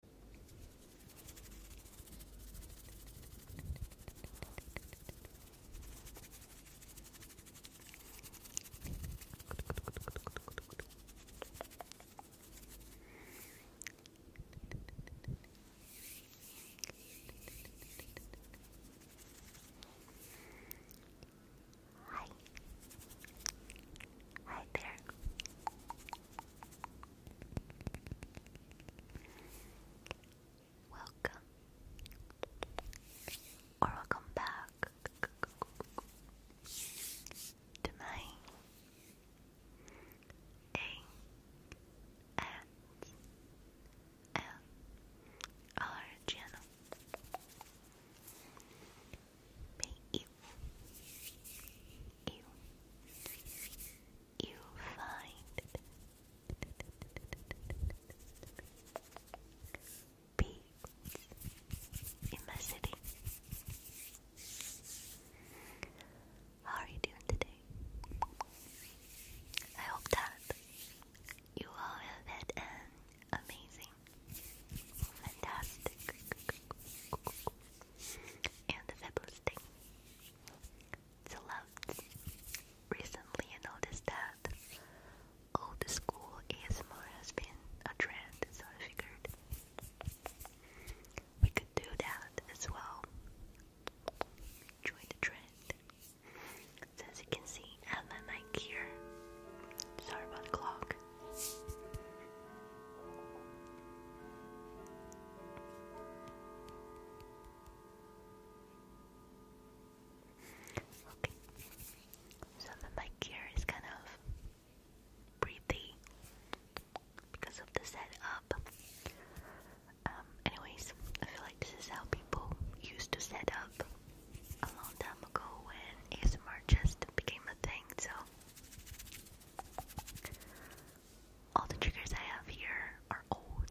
Hi. Hi there. Welcome or welcome back to my A S L R channel. May you you you find peace in my city. How are you doing today? I hope that you all have had an amazing, fantastic, and the fabulous thing. So loved. Recently noticed that old school ASMR has been a trend, so I figured we could do that as well. Join the trend. as you can see, I have my mic Sorry about the clock. Okay. So the mic here is kind of breathy because of the setup. Um, anyways, I feel like this is how people used to set up a long time ago when ASMR just became a thing, so all the triggers I have here are old.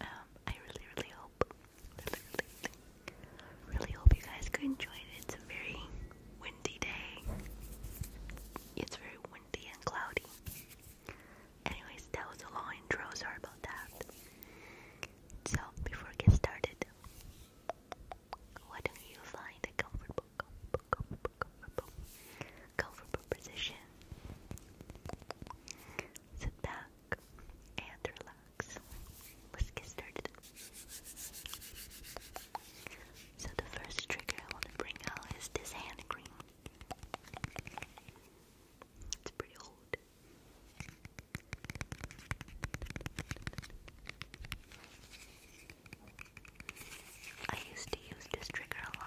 Um, I really, really hope, really, hope you guys could enjoy it. It's a very windy day. It's very windy and cloudy. Anyways, that was a long intro. Sorry about that. So, before I get started, why don't you find a comfortable Go for Sit back and relax. Let's get started. So the first trigger I want to bring out is this hand cream. It's pretty old. I used to use this trigger a lot.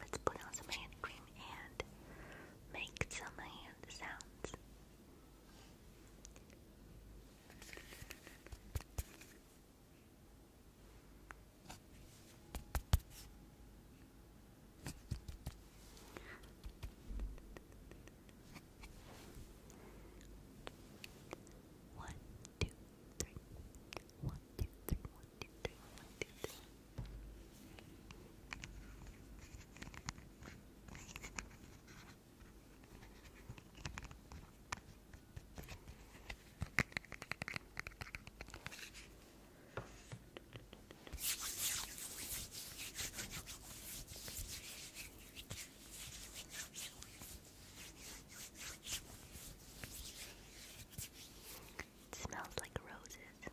Let's put on some hand cream and make some hand sounds. One, two, three. One, two, three. One, two, three. One, two, three. It smells like roses.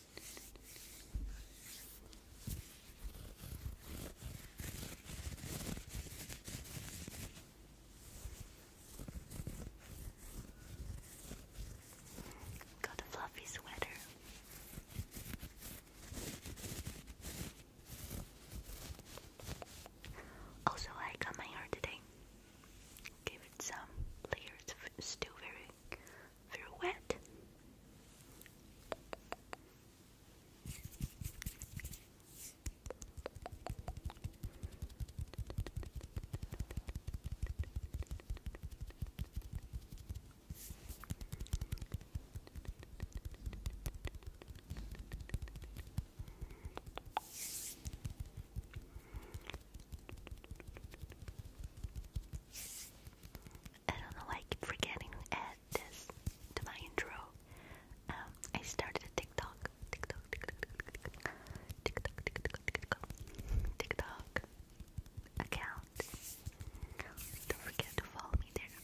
Got a fluffy sweater. Also, I cut my hair today. Give it some layers. still very through wet. I don't know why I keep forgetting to add this to my intro. Um, I started a TikTok. TikTok, TikTok, TikTok, TikTok, TikTok, TikTok, TikTok account. Don't forget to follow me there.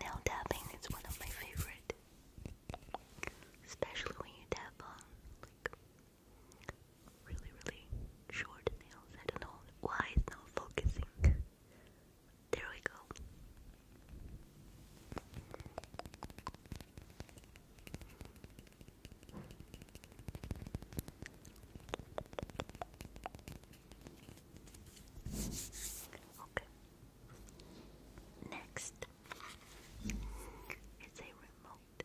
Nail tapping is one of my favorite, especially when you tap on like really, really short nails. I don't know why it's not focusing. There we go. Okay. Next is a remote.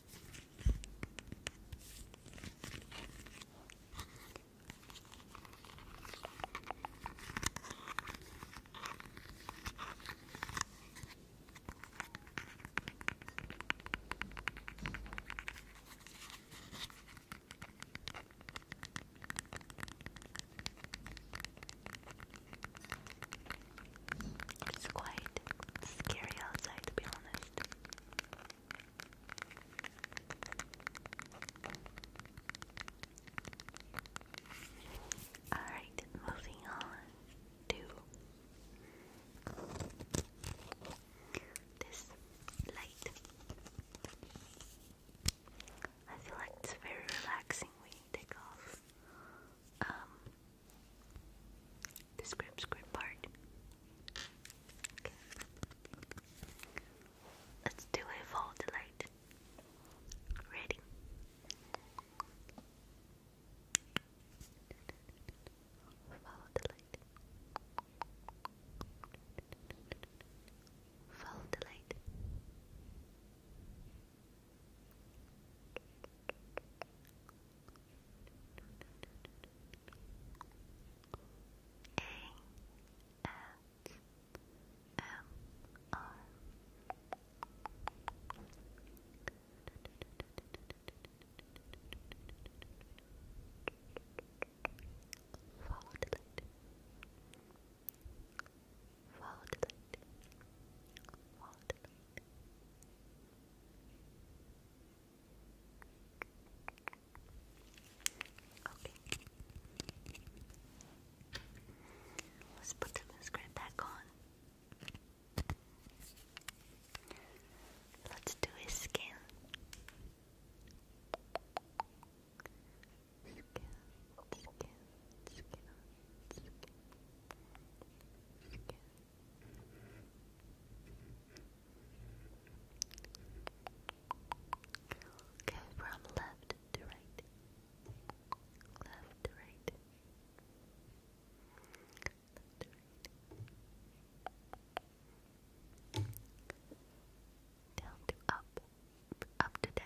It's quite scary outside, to be honest. All right, moving on to this light. I feel like it's very relaxing when you take off um, the script script part. Let's do a full delight. Ready? Follow the light. Follow the light. Follow the light. Follow the light. Follow Okay. Let's put the mascara back on. Let's do his skin. Skin, skin, skin, skin, skin. Go from left to right. Left to right. Down to up. Up to down.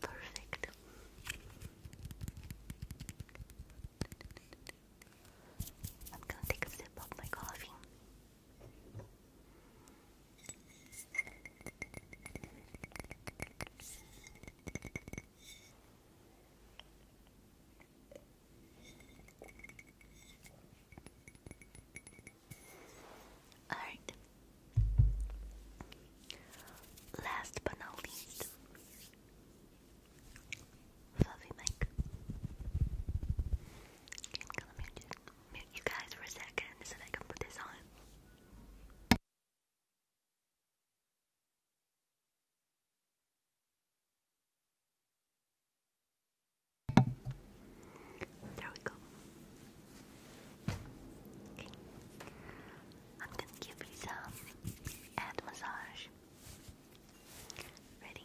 Perfect. I'm gonna take a sip of my coffee. All right. Last but not least, fluffy mic you guys for a second so that I can put this on. There we go. Okay. I'm gonna give you some head massage. Ready?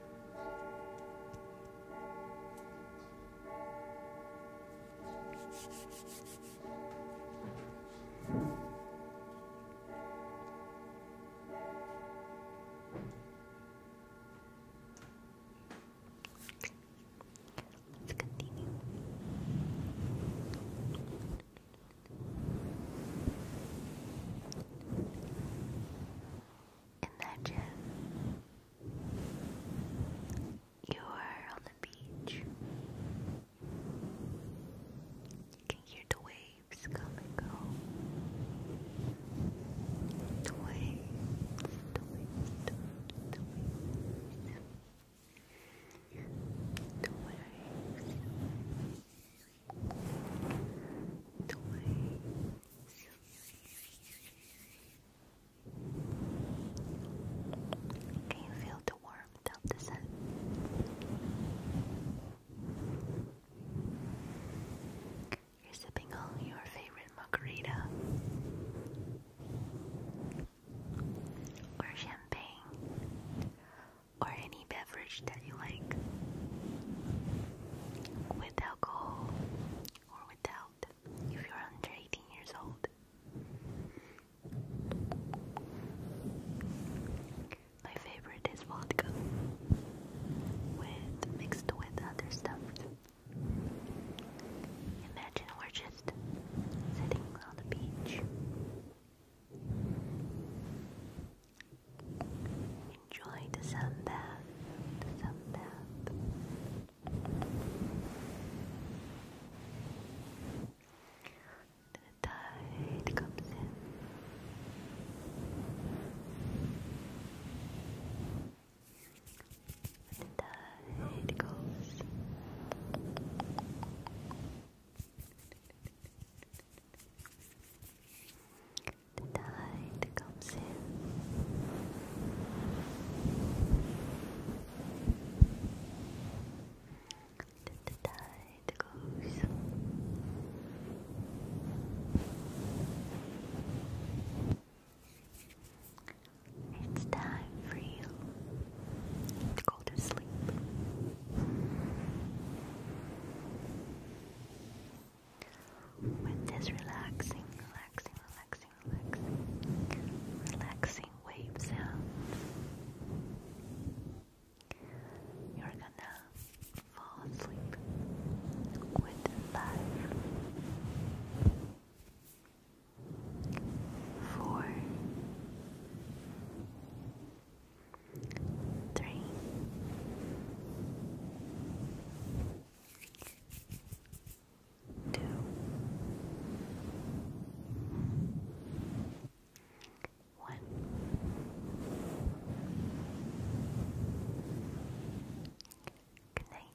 Let's continue in that gym. You are on the beach. You can hear the waves come and go. The the waves, the waves, the waves. The waves. Can you feel the warmth of the sun? You're sipping on your favorite margarita or champagne or any beverage that you like with alcohol or without if you're under 18 years old. My favorite is vodka with mixed with other stuff. Imagine we're just sitting on the beach Enjoy the sunbath, the sunbath. The tide comes in. The tide goes the tide comes in. The tide goes. It's time for you to go to sleep. With this relaxing, relaxing, relaxing, relaxing, relaxing wave you're gonna fall asleep with life two, one. Good night.